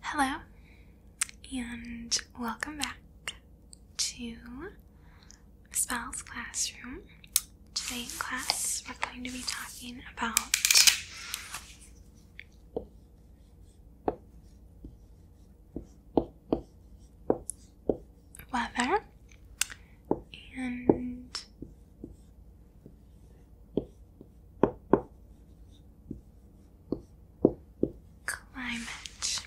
Hello, and welcome back to Spell's Classroom. Today in class, we're going to be talking about weather and Climate.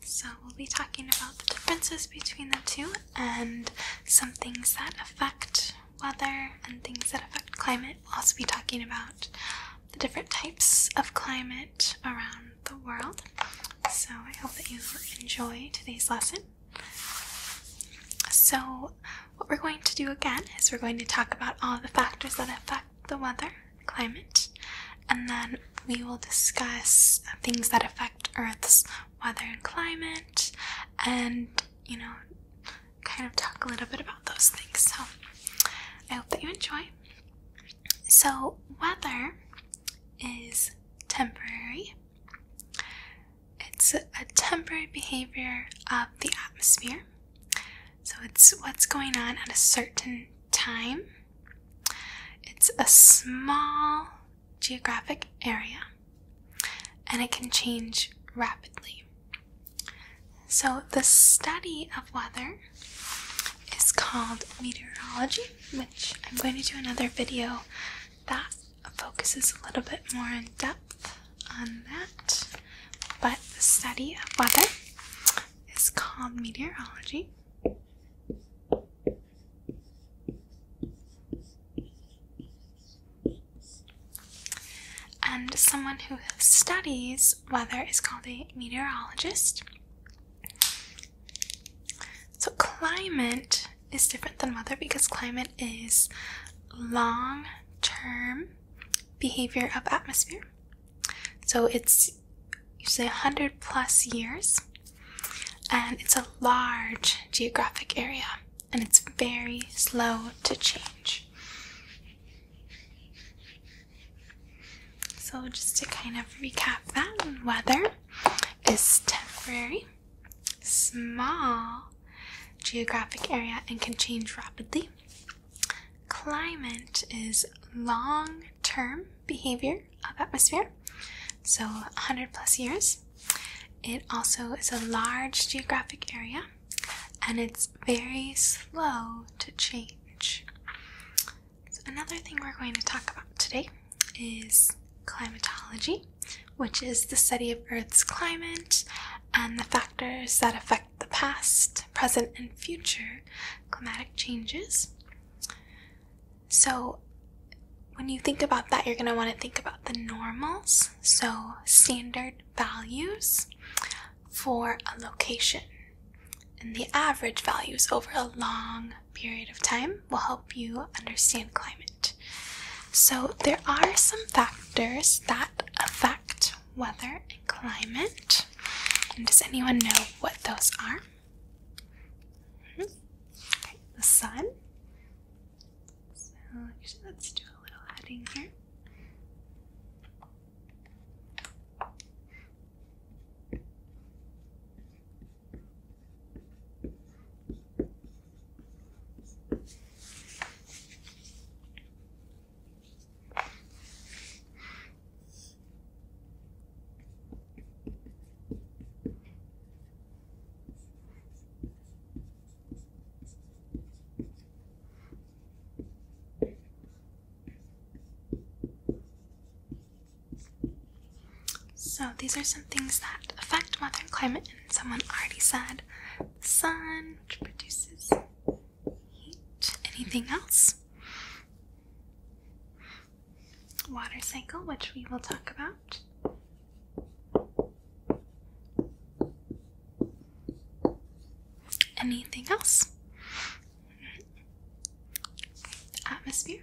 So, we'll be talking about the differences between the two and some things that affect weather and things that affect climate. We'll also be talking about the different types of climate around the world. So, I hope that you enjoy today's lesson. So, what we're going to do again is we're going to talk about all the factors that affect the weather, climate, and then we will discuss things that affect Earth's weather and climate, and you know, kind of talk a little bit about those things. So, I hope that you enjoy. So, weather is temporary. It's a temporary behavior of the atmosphere. So it's what's going on at a certain time. It's a small geographic area and it can change rapidly. So, the study of weather is called meteorology, which I'm going to do another video that focuses a little bit more in depth on that, but the study of weather is called meteorology. And someone who studies weather is called a meteorologist. So, climate is different than weather because climate is long term behavior of atmosphere. So it's usually 100 plus years and it's a large geographic area and it's very slow to change. So, just to kind of recap that, weather is temporary, small, geographic area and can change rapidly. Climate is long term behavior of atmosphere, so 100 plus years. It also is a large geographic area and it's very slow to change. So another thing we're going to talk about today is climatology, which is the study of Earth's climate and the factors that affect the past, present, and future climatic changes. So, when you think about that, you're going to want to think about the normals, so standard values for a location. And the average values over a long period of time will help you understand climate. So, there are some factors that affect weather and climate. And does anyone know what those are? Mm-hmm. the sun. So, actually, let's do a little adding here. So, these are some things that affect modern climate, and someone already said sun, which produces heat. Anything else? Water cycle, which we will talk about. Anything else? atmosphere.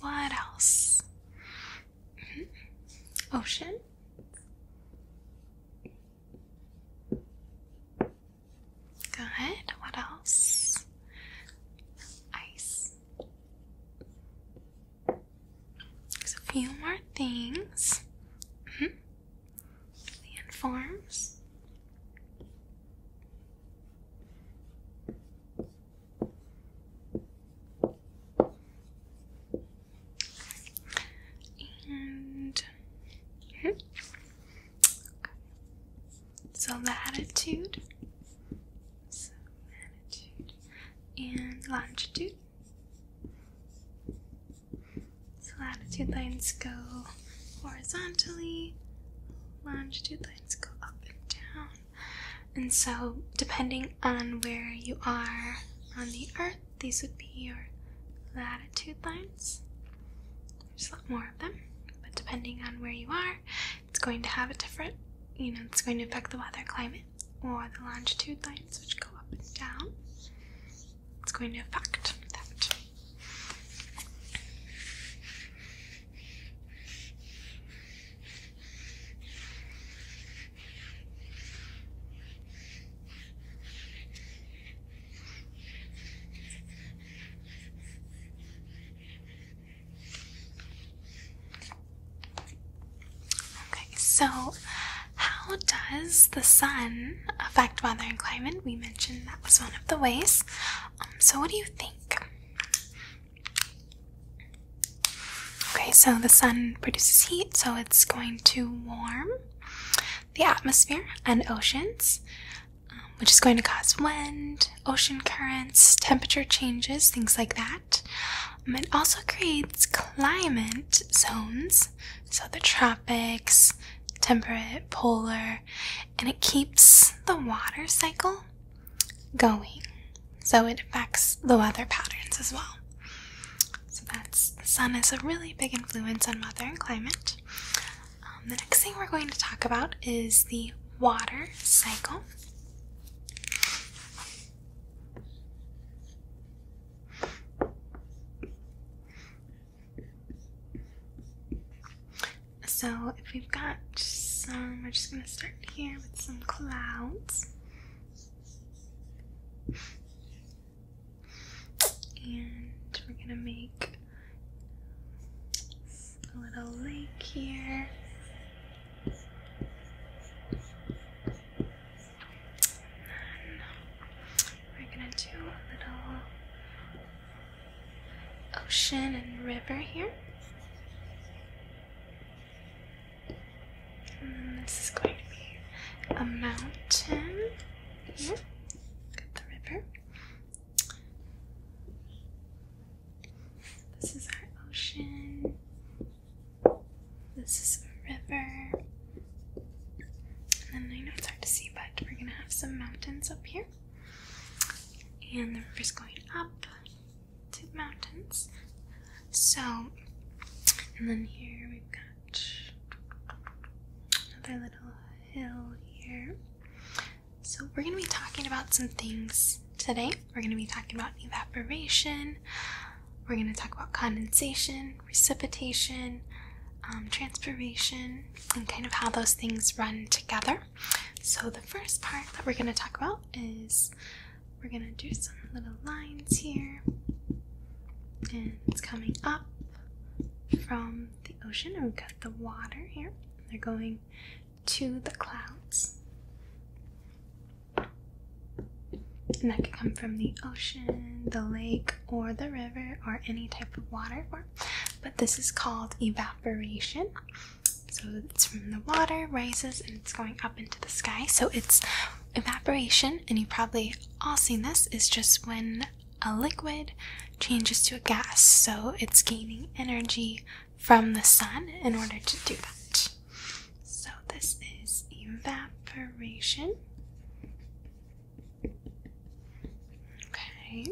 What else? Mm-hmm. Ocean? Good. What else? Ice. There's a few more things. -hmm. Land forms. And so latitude and longitude. So latitude lines go horizontally, longitude lines go up and down. And so, depending on where you are on the earth, these would be your latitude lines. There's a lot more of them, but depending on where you are, it's going to have a different, you know, it's going to affect the weather, climate, or the longitude lines, which go up and down. It's going to affect that. Okay, so how does the sun affect weather and climate? We mentioned that was one of the ways. Um, so, what do you think? Okay, so the sun produces heat, so it's going to warm the atmosphere and oceans, um, which is going to cause wind, ocean currents, temperature changes, things like that. Um, it also creates climate zones, so the tropics, temperate, polar, and it keeps the water cycle going. So it affects the weather patterns as well. So that's the sun is a really big influence on weather and climate. Um, the next thing we're going to talk about is the water cycle. So, if we've got some, we're just going to start here with some clouds. And we're going to make a little lake here. we're going to do a little ocean and river here. Mm, this is going a mountain here. the river. This is our ocean. This is a river. And then I know it's hard to see, but we're gonna have some mountains up here and the river is going up to the mountains. So, and then here we've got another little hill here. So, we're going to be talking about some things today. We're going to be talking about evaporation, we're going to talk about condensation, precipitation, um, transpiration, and kind of how those things run together. So, the first part that we're going to talk about is we're going to do some little lines here, and it's coming up from the ocean, and we've got the water here. They're going to the clouds. And that could come from the ocean, the lake, or the river, or any type of water but this is called evaporation. So it's from the water, rises, and it's going up into the sky. So it's evaporation, and you probably all seen this, is just when a liquid changes to a gas. So it's gaining energy from the sun in order to do that. So this is evaporation okay.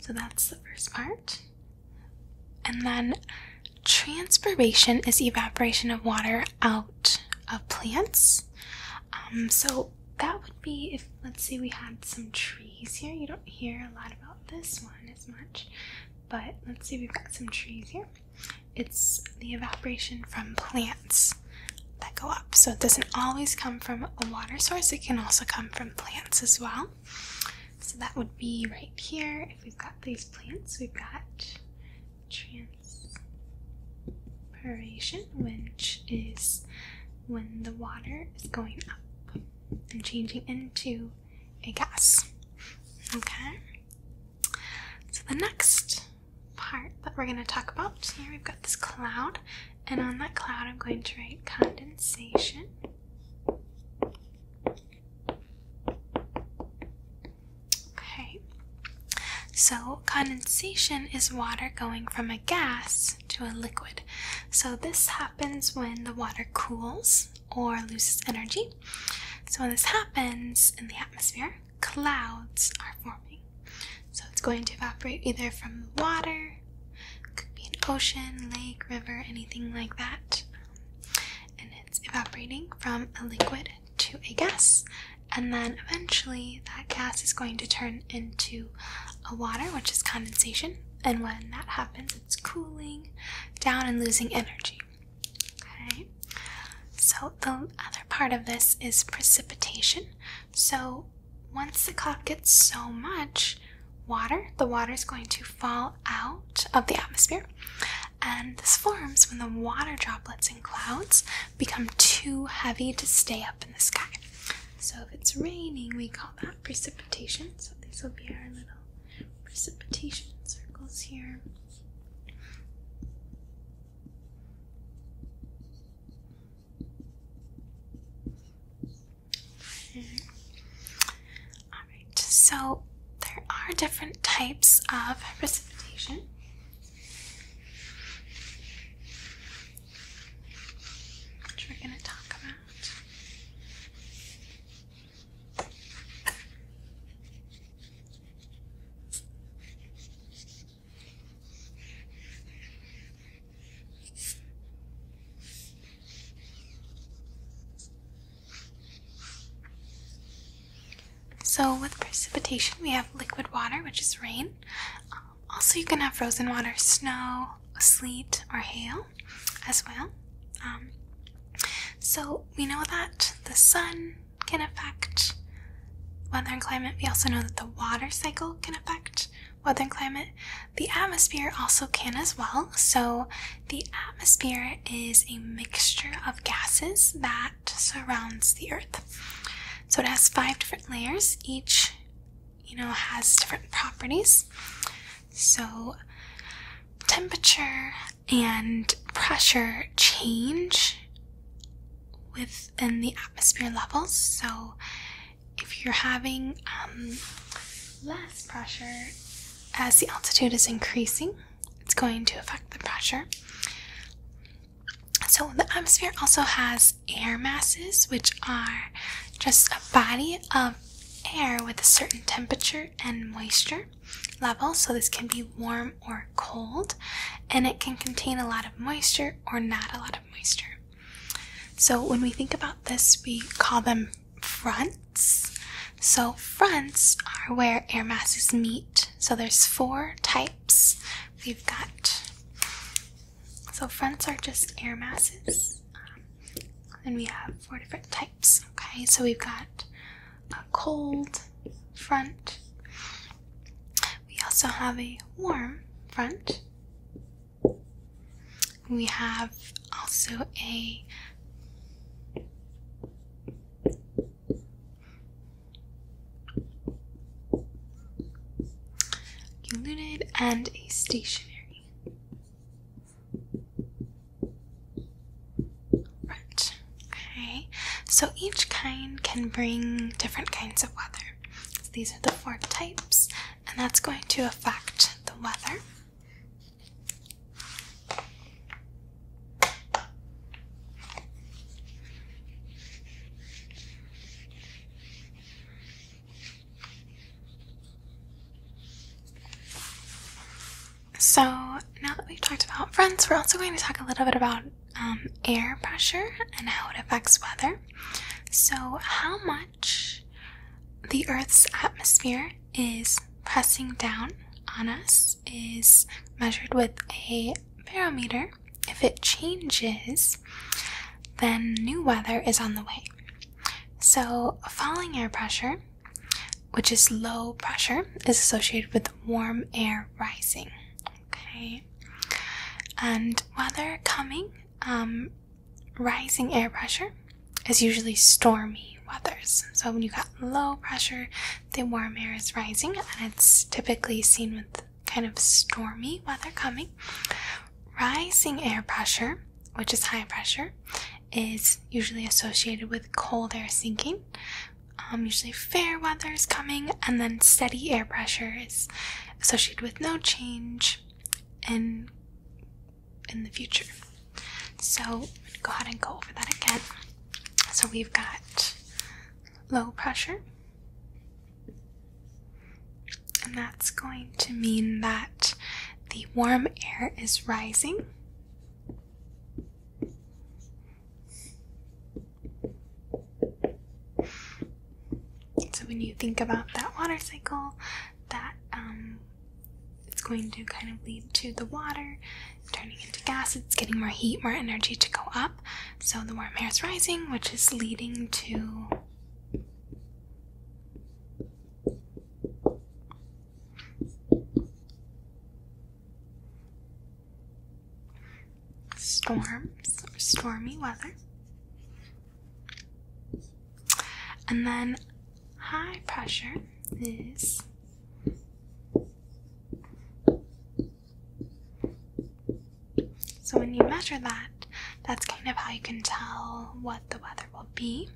So that's the first part. And then transpiration is evaporation of water out of plants. Um, so that would be if, let's say, we had some trees here. You don't hear a lot about this one as much, but let's see, we've got some trees here. It's the evaporation from plants that go up. So it doesn't always come from a water source, it can also come from plants as well. So that would be right here. If we've got these plants, we've got transpiration, which is when the water is going up and changing into a gas. Okay, so the next part that we're going to talk about. here we've got this cloud, and on that cloud, I'm going to write condensation. Okay, so condensation is water going from a gas to a liquid. So this happens when the water cools or loses energy. So when this happens in the atmosphere, clouds are forming. So it's going to evaporate either from water, could be an ocean, lake, river, anything like that. And it's evaporating from a liquid to a gas, and then eventually that gas is going to turn into a water, which is condensation. And when that happens, it's cooling down and losing energy. Okay, so the other part of this is precipitation, so once the cloud gets so much water, the water is going to fall out of the atmosphere, and this forms when the water droplets in clouds become too heavy to stay up in the sky. So if it's raining, we call that precipitation. So these will be our little precipitation circles here. All right, so there are different types of precipitation. Which we're going to talk about. So, with precipitation, we have liquid water, which is rain. Um, also, you can have frozen water, snow, sleet, or hail as well. Um, so, we know that the sun can affect weather and climate. We also know that the water cycle can affect weather and climate. The atmosphere also can as well. So, the atmosphere is a mixture of gases that surrounds the earth. So, it has five different layers, each you know has different properties. So, temperature and pressure change with in the atmosphere levels. So, if you're having um, less pressure as the altitude is increasing, it's going to affect the pressure. So, the atmosphere also has air masses, which are just a body of air with a certain temperature and moisture level. So, this can be warm or cold, and it can contain a lot of moisture or not a lot of moisture. So when we think about this, we call them fronts. So fronts are where air masses meet. So there's four types we've got. So fronts are just air masses. Um, and we have four different types. Okay, so we've got a cold front. We also have a warm front. We have also a unit and a stationary front. Okay, so each kind can bring different kinds of weather. So these are the four types, and that's going to affect the weather. So, now that we've talked about friends, we're also going to talk a little bit about um, air pressure and how it affects weather. So, how much the Earth's atmosphere is pressing down on us is measured with a barometer. If it changes, then new weather is on the way. So, falling air pressure, which is low pressure, is associated with warm air rising, Okay. And weather coming, um, rising air pressure is usually stormy weathers. So when you got low pressure, the warm air is rising, and it's typically seen with kind of stormy weather coming. Rising air pressure, which is high pressure, is usually associated with cold air sinking. Um, usually fair weather is coming, and then steady air pressure is associated with no change in in the future. So go ahead and go over that again. So we've got low pressure, and that's going to mean that the warm air is rising. So when you think about that water cycle, that um, it's going to kind of lead to the water turning into gas. It's getting more heat, more energy to go up. So the warm air is rising, which is leading to storms or stormy weather. And then high pressure is so when you measure that, that's kind of how you can tell what the weather will be.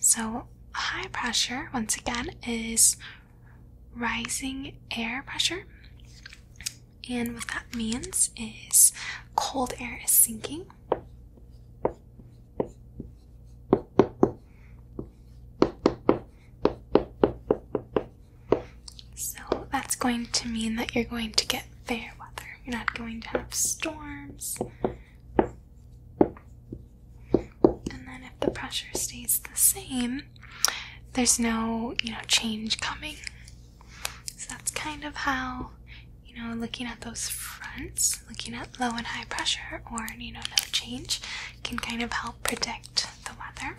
So, high pressure, once again, is rising air pressure. And what that means is cold air is sinking. So that's going to mean that you're going to get fair weather. You're not going to have storms. And then if the pressure stays the same, there's no, you know, change coming. So that's kind of how, you know, looking at those fronts, looking at low and high pressure or, you know, no change can kind of help predict the weather.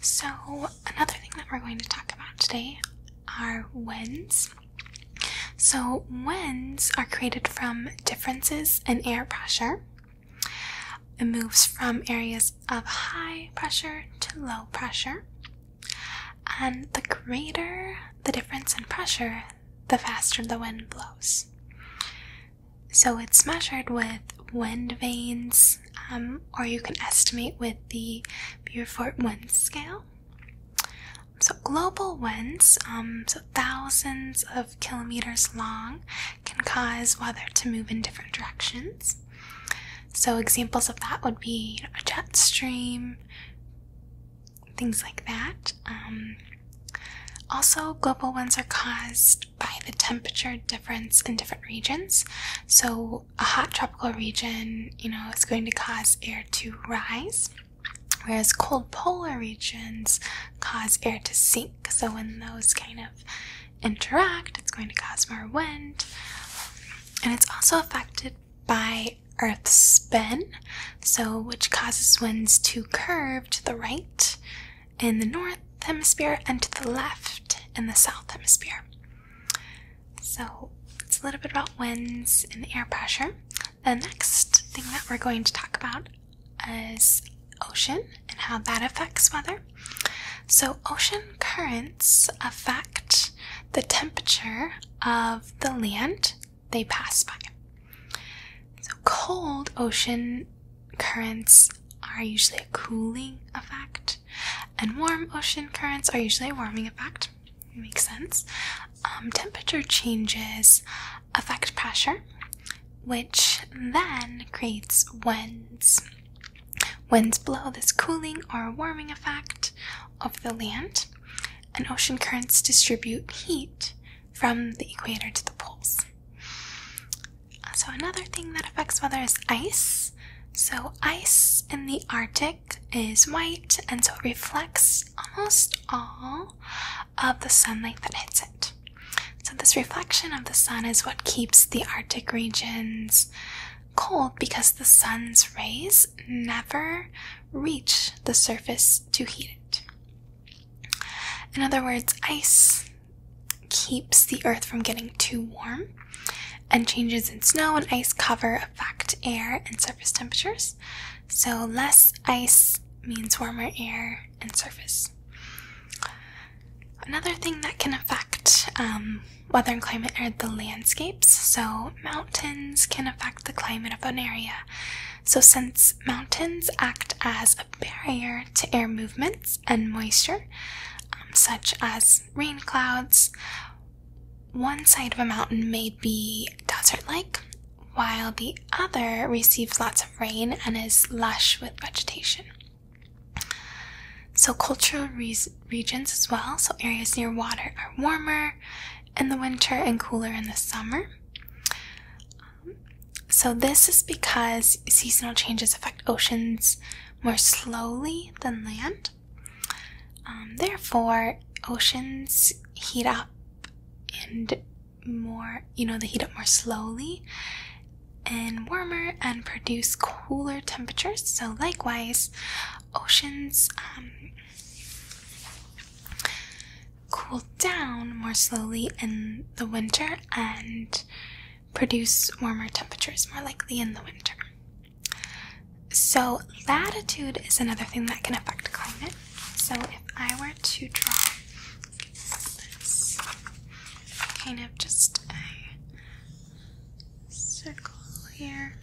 So, another thing that we're going to talk about today are winds. So, winds are created from differences in air pressure. It moves from areas of high pressure to low pressure. And the greater the difference in pressure, the faster the wind blows. So, it's measured with wind vanes um, or you can estimate with the Beaufort wind scale. So global winds, um, so thousands of kilometers long, can cause weather to move in different directions. So examples of that would be a jet stream, things like that. Um, also, global winds are caused by the temperature difference in different regions. So, a hot tropical region, you know, is going to cause air to rise, whereas cold polar regions cause air to sink. So, when those kind of interact, it's going to cause more wind. And it's also affected by Earth's spin, so which causes winds to curve to the right in the north hemisphere and to the left in the south hemisphere. So it's a little bit about winds and air pressure. The next thing that we're going to talk about is ocean and how that affects weather. So, ocean currents affect the temperature of the land they pass by. So, cold ocean currents are usually a cooling effect and warm ocean currents are usually a warming effect. It makes sense. Um, temperature changes affect pressure, which then creates winds. Winds blow this cooling or warming effect over the land, and ocean currents distribute heat from the equator to the poles. So, another thing that affects weather is ice. So, ice in the Arctic is white, and so it reflects almost all of the sunlight that hits it. So, this reflection of the sun is what keeps the Arctic regions cold because the sun's rays never reach the surface to heat it. In other words, ice keeps the earth from getting too warm, and changes in snow and ice cover affect air and surface temperatures. So, less ice means warmer air and surface. Another thing that can affect um, weather and climate are the landscapes. So, mountains can affect the climate of an area. So, since mountains act as a barrier to air movements and moisture, um, such as rain clouds. One side of a mountain may be desert like, while the other receives lots of rain and is lush with vegetation. So, cultural regions as well, so areas near water are warmer in the winter and cooler in the summer. Um, so, this is because seasonal changes affect oceans, more slowly than land. Um, therefore, oceans heat up and more, you know, they heat up more slowly and warmer and produce cooler temperatures. So, likewise, oceans um, cool down more slowly in the winter and produce warmer temperatures, more likely in the winter. So, latitude is another thing that can affect climate. So, if I were to draw this kind of just a circle here,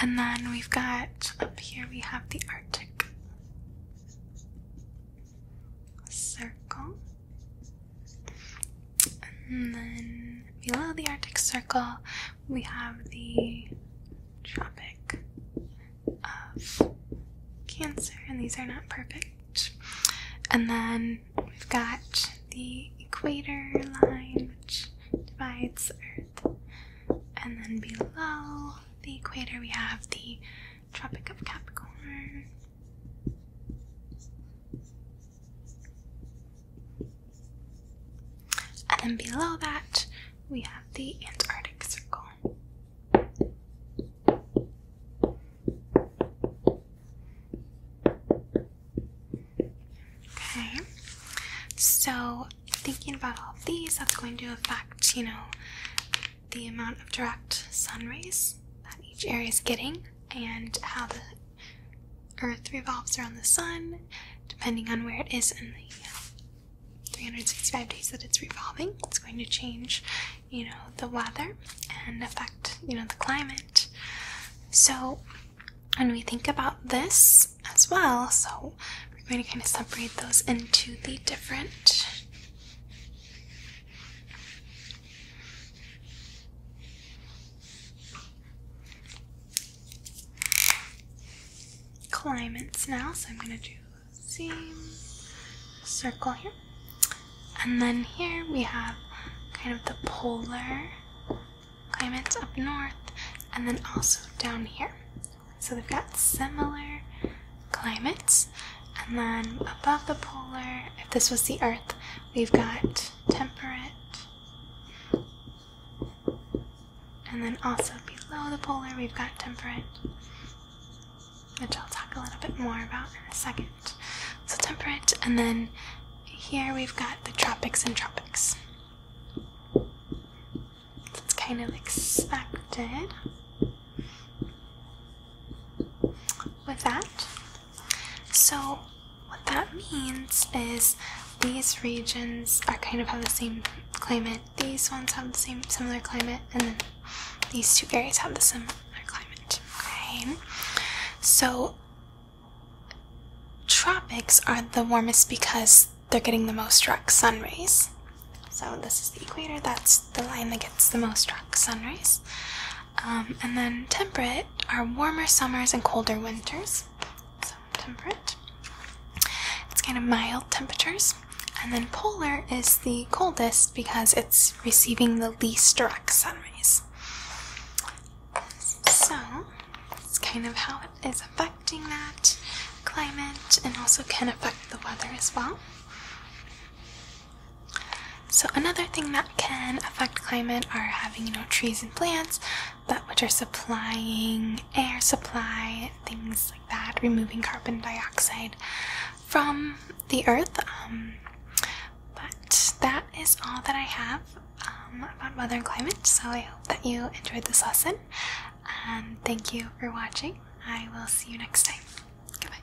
and then we've got up here we have the Arctic circle. And then below the Arctic Circle, we have the Tropic of Cancer, and these are not perfect. And then we've got the equator line, which divides Earth. And then below the equator, we have the Tropic of Capricorn. And then below that, we have the Antarctic Circle. Okay, so thinking about all of these, that's going to affect, you know, the amount of direct sun rays that each area is getting and how the Earth revolves around the sun, depending on where it is in the uh, 365 days that it's revolving. It's going to change, you know, the weather and affect, you know, the climate. So, when we think about this as well, so we're going to kind of separate those into the different Climates now, so I'm going to do the same circle here. And then here we have kind of the polar climates up north, and then also down here. So they've got similar climates. And then above the polar, if this was the Earth, We've got temperate, and then also below the polar, we've got temperate, which I'll talk a little bit more about in a second. So, temperate, and then here we've got the tropics and tropics. That's kind of expected. With that, so, what that means is these regions are kind of have the same climate, these ones have the same similar climate, and then these two areas have the similar climate. Okay, so tropics are the warmest because they're getting the most direct sun rays. So, this is the equator, that's the line that gets the most direct sun rays. Um, and then temperate are warmer summers and colder winters. So temperate. It's kind of mild temperatures. And then polar is the coldest because it's receiving the least direct sun rays. So it's kind of how it is affecting that climate and also can affect the weather as well. So another thing that can affect climate are having you know trees and plants, but which are supplying air supply things like that, removing carbon dioxide from the earth. Um, but that is all that I have um, about weather and climate. So I hope that you enjoyed this lesson, and thank you for watching. I will see you next time. Goodbye.